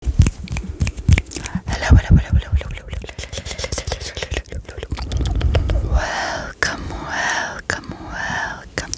Hello, hello, hello, hello, hello, hello, hello. Welcome, welcome, welcome.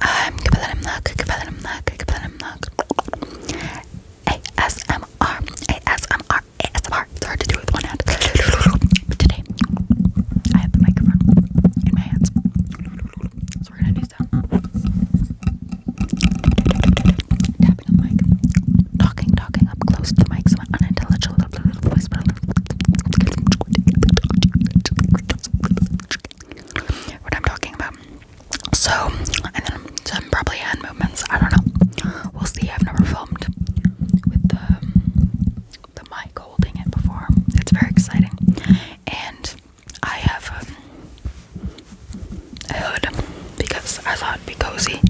I'm Kapalanam Nak, Kapalanam Nak, Kapalanam Nak. ASMR, ASMR, ASMR. It's hard to do with one hand. But today, I have the microphone in my hands. So we're gonna do Talking, talking up close to the mic. Some unintelligible little, little voice. what I'm talking about. So, and then probably hand movements. I don't know. We'll see. I've never filmed with the, the mic holding it before. It's very exciting. And I have um, a, a because I thought it'd be cozy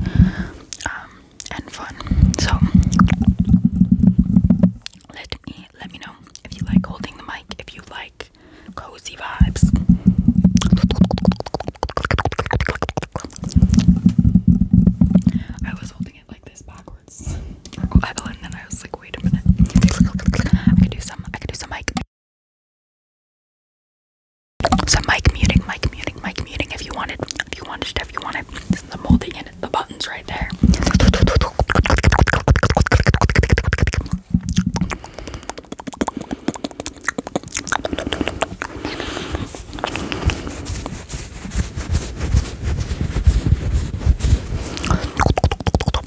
um, and fun. So let me let me know if you like holding the mic, if you like cozy vibes. I was holding it like this backwards. and then I was like, wait a minute. I could do some I could do some mic so mic muting, mic muting, mic muting. If you wanted, if you wanted, if you wanted, the molding the buttons right there.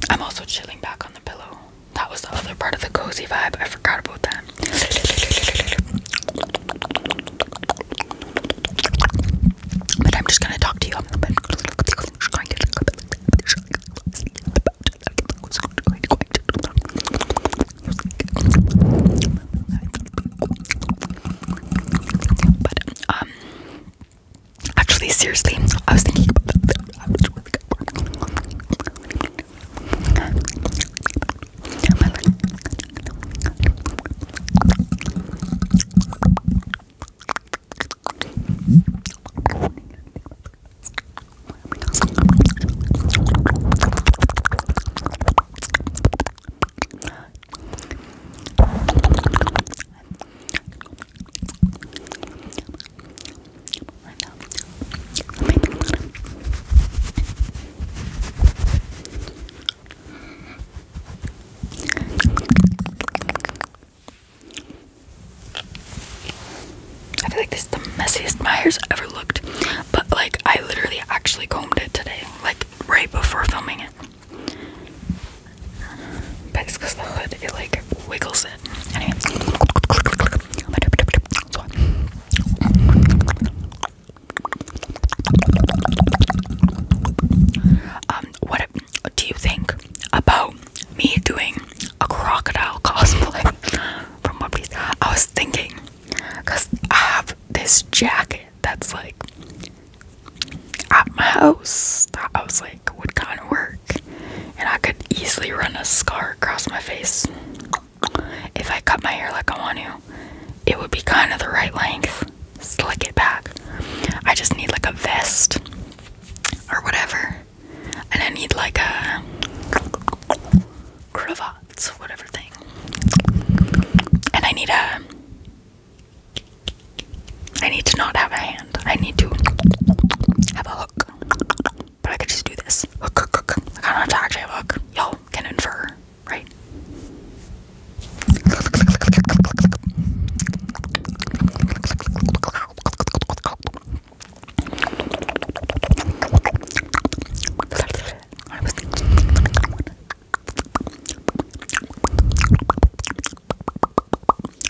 I'm also chilling back on the pillow. That was the other part of the cozy vibe. I forgot about that. But I'm just gonna talk to you. but um Actually, seriously, I was thinking about that. I feel like this is the messiest my hair's ever looked, but like I literally actually combed it today, like right before filming it. But it's because the hood, it like wiggles it. Anyway. Um, what do you think about me doing a crocodile cosplay from One I was thinking, because I have this jacket that's like at my house. I was like, would kind of work, and I could easily run a scar across my face if I cut my hair like I want to. It would be kind of the right length. Slick it back. I just need like a vest or whatever, and I need like a cravats, whatever thing, and I need a I need to not have a hand. I need to have a hook. But I could just do this. Hook, hook, hook. I don't have to actually have a hook. Y'all can infer, right?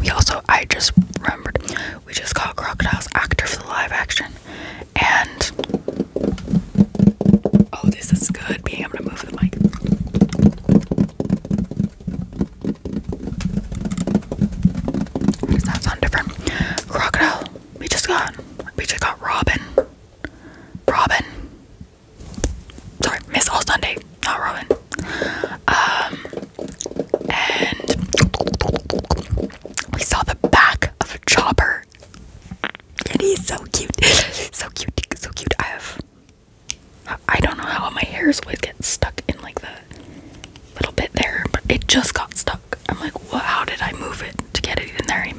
We also, I just remembered, we just called Crocodiles actor for the live action. And oh, this is good being able to move the mic. Does that sound different? Crocodile. We just got, we just got Robin. Robin sorry, Miss All Sunday, not Robin. Um, and we saw the back of a Chopper, and he's so cute, so cute, so cute. I have, I don't know how my hairs would get stuck in like the little bit there, but it just got stuck. I'm like, how did I move it to get it in there? Even?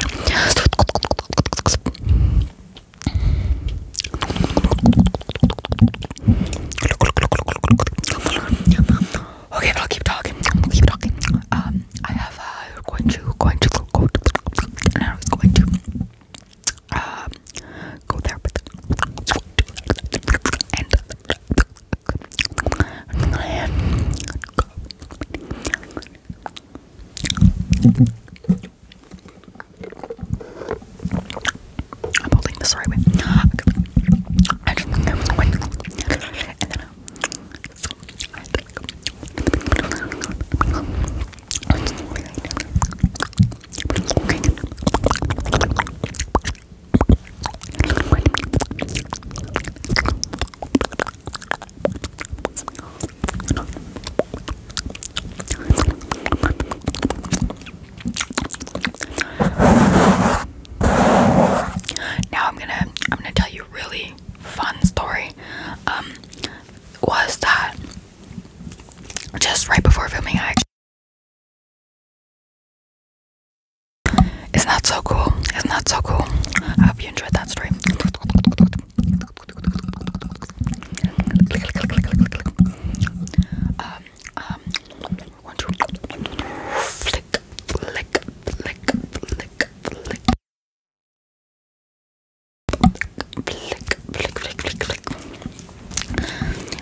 Okay, but I'll keep talking. I'll keep talking. Um, I have uh, going to going to go. to I was going to um go there, but I'm holding this the right way. I just think that was going. And then I uh, now I'm gonna I'm gonna tell you a really fun story. Um was that just right before filming I it's not so cool? It's not so cool? I hope you enjoyed that story one, two,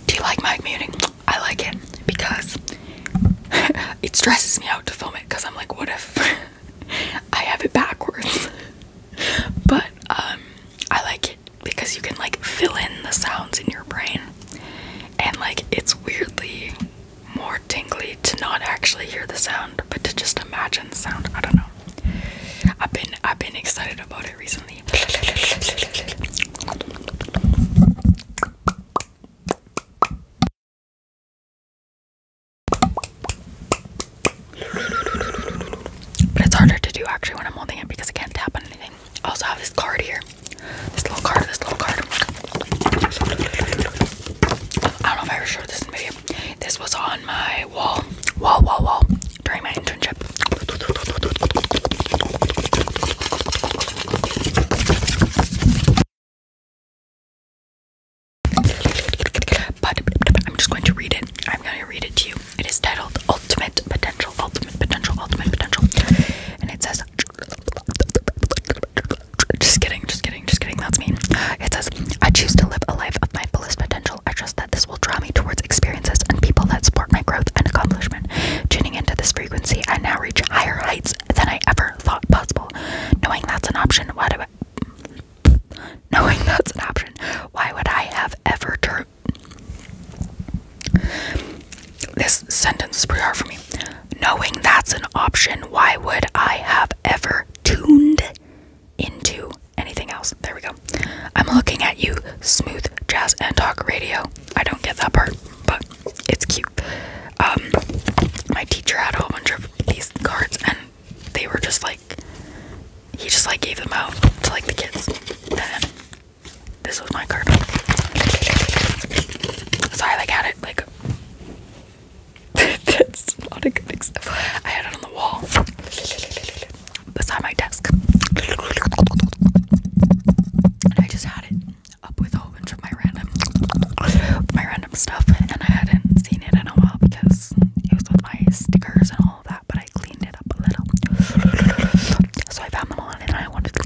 Do you like my muting? I like it because it stresses me out to film it because I'm like, what if I have it backwards? but um, I like it because you can like fill in the sounds in your brain and like it's weirdly more tingly to not actually hear the sound but to just imagine the sound. I don't know. I've been I've been excited about it recently. But it's harder to do actually when I'm holding it because I can't tap on anything. I also have this card here. This little card, this little card. I don't know if I ever showed this in video. This was on my wall, wall, wall, wall during my internship. But I'm just going to read it. I'm going to read it to you. It is titled Ultimate Potential, Ultimate Potential, Ultimate Potential. And it says, just kidding, just kidding, just kidding, that's me. It says, I choose to live a life of my fullest potential. I trust that this will draw me towards experiences and people that support my growth and accomplishment. Tuning into this frequency, I now reach higher heights than I ever thought possible. Knowing that's an option, why knowing that's an option, why would I have ever turned? This sentence is for me. Knowing that's an option, why would I have ever tuned into anything else? There we go. I'm looking at you, smooth jazz and talk radio. I don't get that part, but it's cute. Um, my teacher had a whole bunch of these cards, and they were just like he just like gave them out to like the kids. And this was my card. So I like had it like that's not a good example. I had it on the wall beside my desk. And I just had it up with a bunch of my random my random stuff, and I hadn't seen it in a while because it was with my stickers and all that, but I cleaned it up a little. So I found them on, and I wanted to.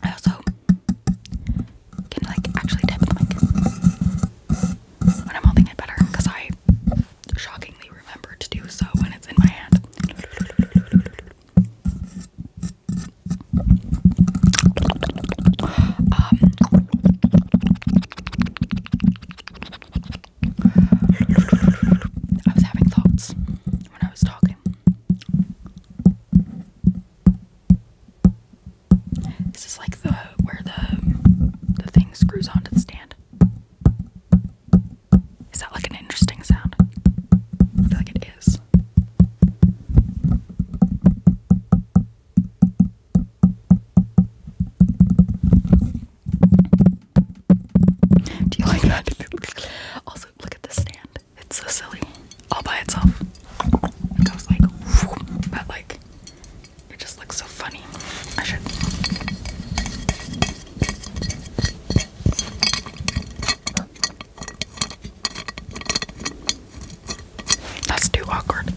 I also can like actually tap when I'm holding it better I shockingly remember to do so when it's in my hand. Um, I was having thoughts when I was talking. This is like the where the the thing screws onto the stand. Is that like an interesting sound? I feel like it is. Do you like that? also, look at the stand. It's so silly. All by itself. It goes like, whoop, but like, it just looks so funny. I should. That's too awkward.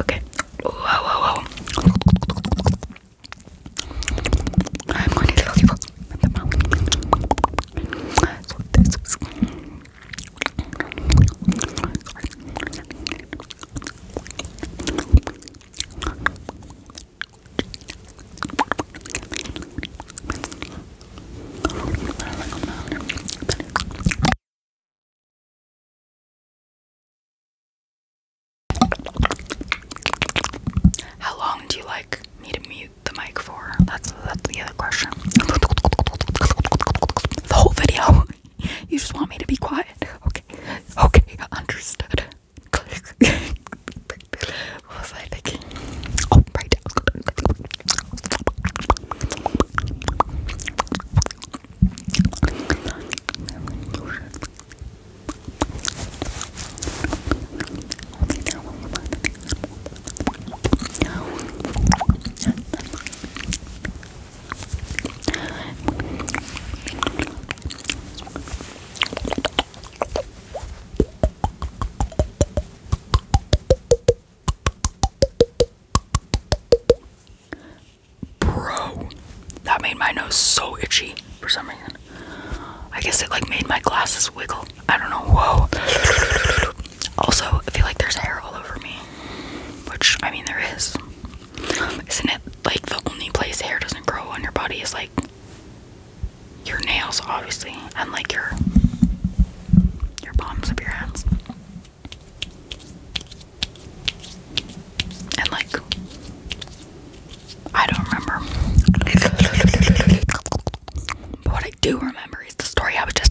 Okay. Whoa, whoa, whoa. I'm going to tell you how long do you like me to mute the mic for? That's that's the other question. The whole video. You just want me to be quiet. Okay. Okay, understood. What was I thinking? Oh, right. Bro, that made my nose so itchy for some reason. I guess it like made my glasses wiggle. I don't know. Whoa. Also, I feel like there's hair all over me, which I mean, there is. Isn't it like the only place hair doesn't grow on your body is like your nails, obviously, and like your your palms of your hands, and like I don't remember, but what I do remember is the story I was just.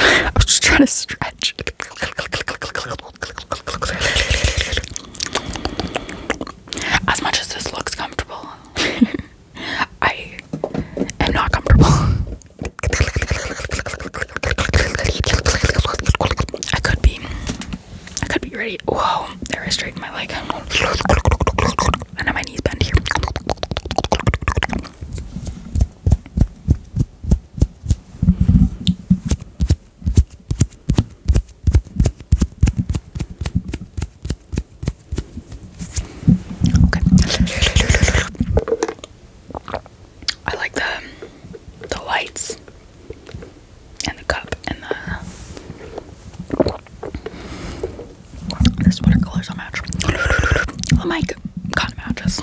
I was, just trying to stretch. As much as this looks comfortable, I am not comfortable. I could be, I could be ready. Whoa, there I straightened my leg. And now my knees bend here. Okay. I like the the lights and the cup and the there's winter colors match. Oh my god, matches.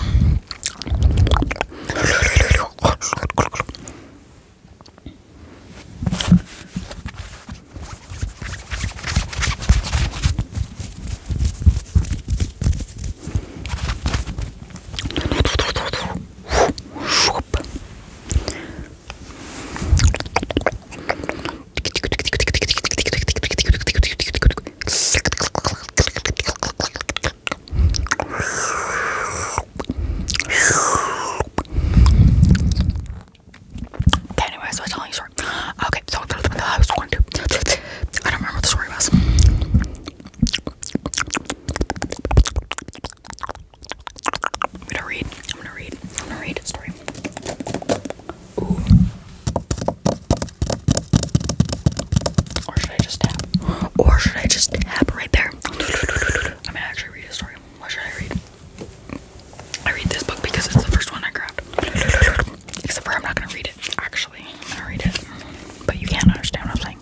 Okay, anyways, so I was telling you story. Okay, so I was going to. I don't remember the story I'm gonna read. I'm gonna read. I'm gonna read a story. Or should I just tap? Or should I just tap right there? I'm gonna actually read a story. What should I read? I read this book because it's the first one I grabbed. Except for I'm not gonna read it, actually. I'm gonna read it. But you can't understand what I'm saying.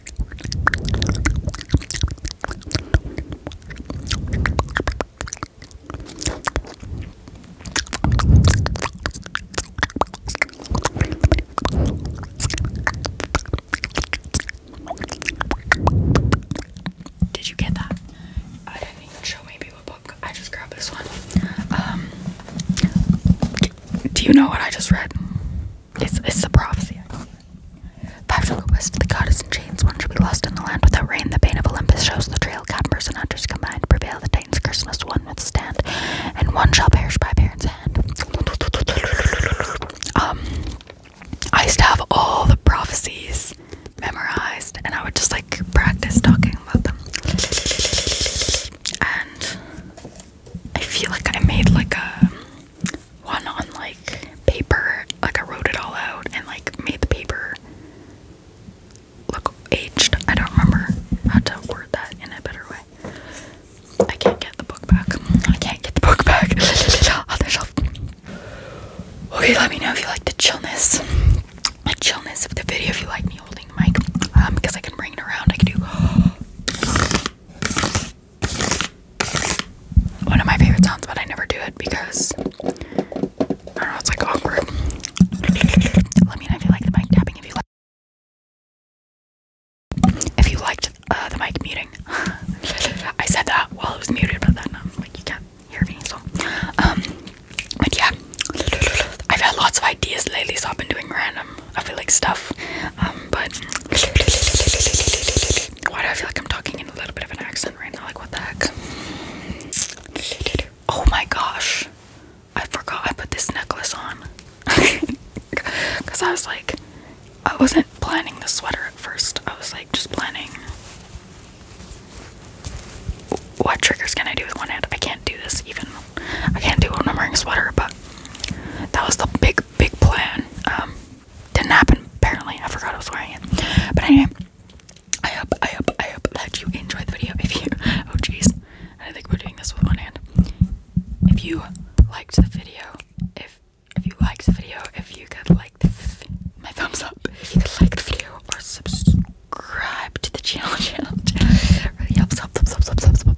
Did you get that? I don't even show maybe a book. I just grabbed this one. Um, do you know what I just read? It's, the prophecy. Five to the west, the goddess in chains, one should be lost in the land without rain. The pain of Olympus shows the trail. Cadmers and hunters combine to prevail. The Titans curse must one withstand, and one shall perish by parents' hand. Um, I used to have all the prophecies memorized, and I would just like practice talking about them. And I feel like I made like a one on like paper, like I wrote it all out and like made the paper look aged. I don't remember how to word that in a better way. I can't get the book back. I can't get the book back. on the shelf. Okay, let me know if you like the chillness. The chillness of the video if you like me holding the mic. Um, because I can bring it around. I can do one of my favorite sounds, but I never do it because I don't know, it's like awkward. Let me know if you like the mic tapping, if you like if you liked uh, the mic muting. I said that while it was muted, but then um, like you can't hear me, so um but yeah. I've had lots of ideas lately, so I've been doing random I feel like stuff. Um, but why do I feel like I'm talking in a little bit of an accent right now? Like, what the heck? Oh my gosh, I forgot I put this necklace on because I was like, I wasn't planning the sweater at first, I was like, just planning what triggers can I do with one hand. I can't do this even, I can't do it when I'm wearing sweater, but that was the big big, plan. Um, didn't happen apparently. I forgot I was wearing it. But anyway, I hope, I hope, I hope that you enjoyed the video. If you, oh jeez, I think we're doing this with one hand. If you liked the video, if if you liked the video, if you could like the my thumbs up, if you could like the video or subscribe to the channel, channel, channel really helps. Help, help, help, help, help,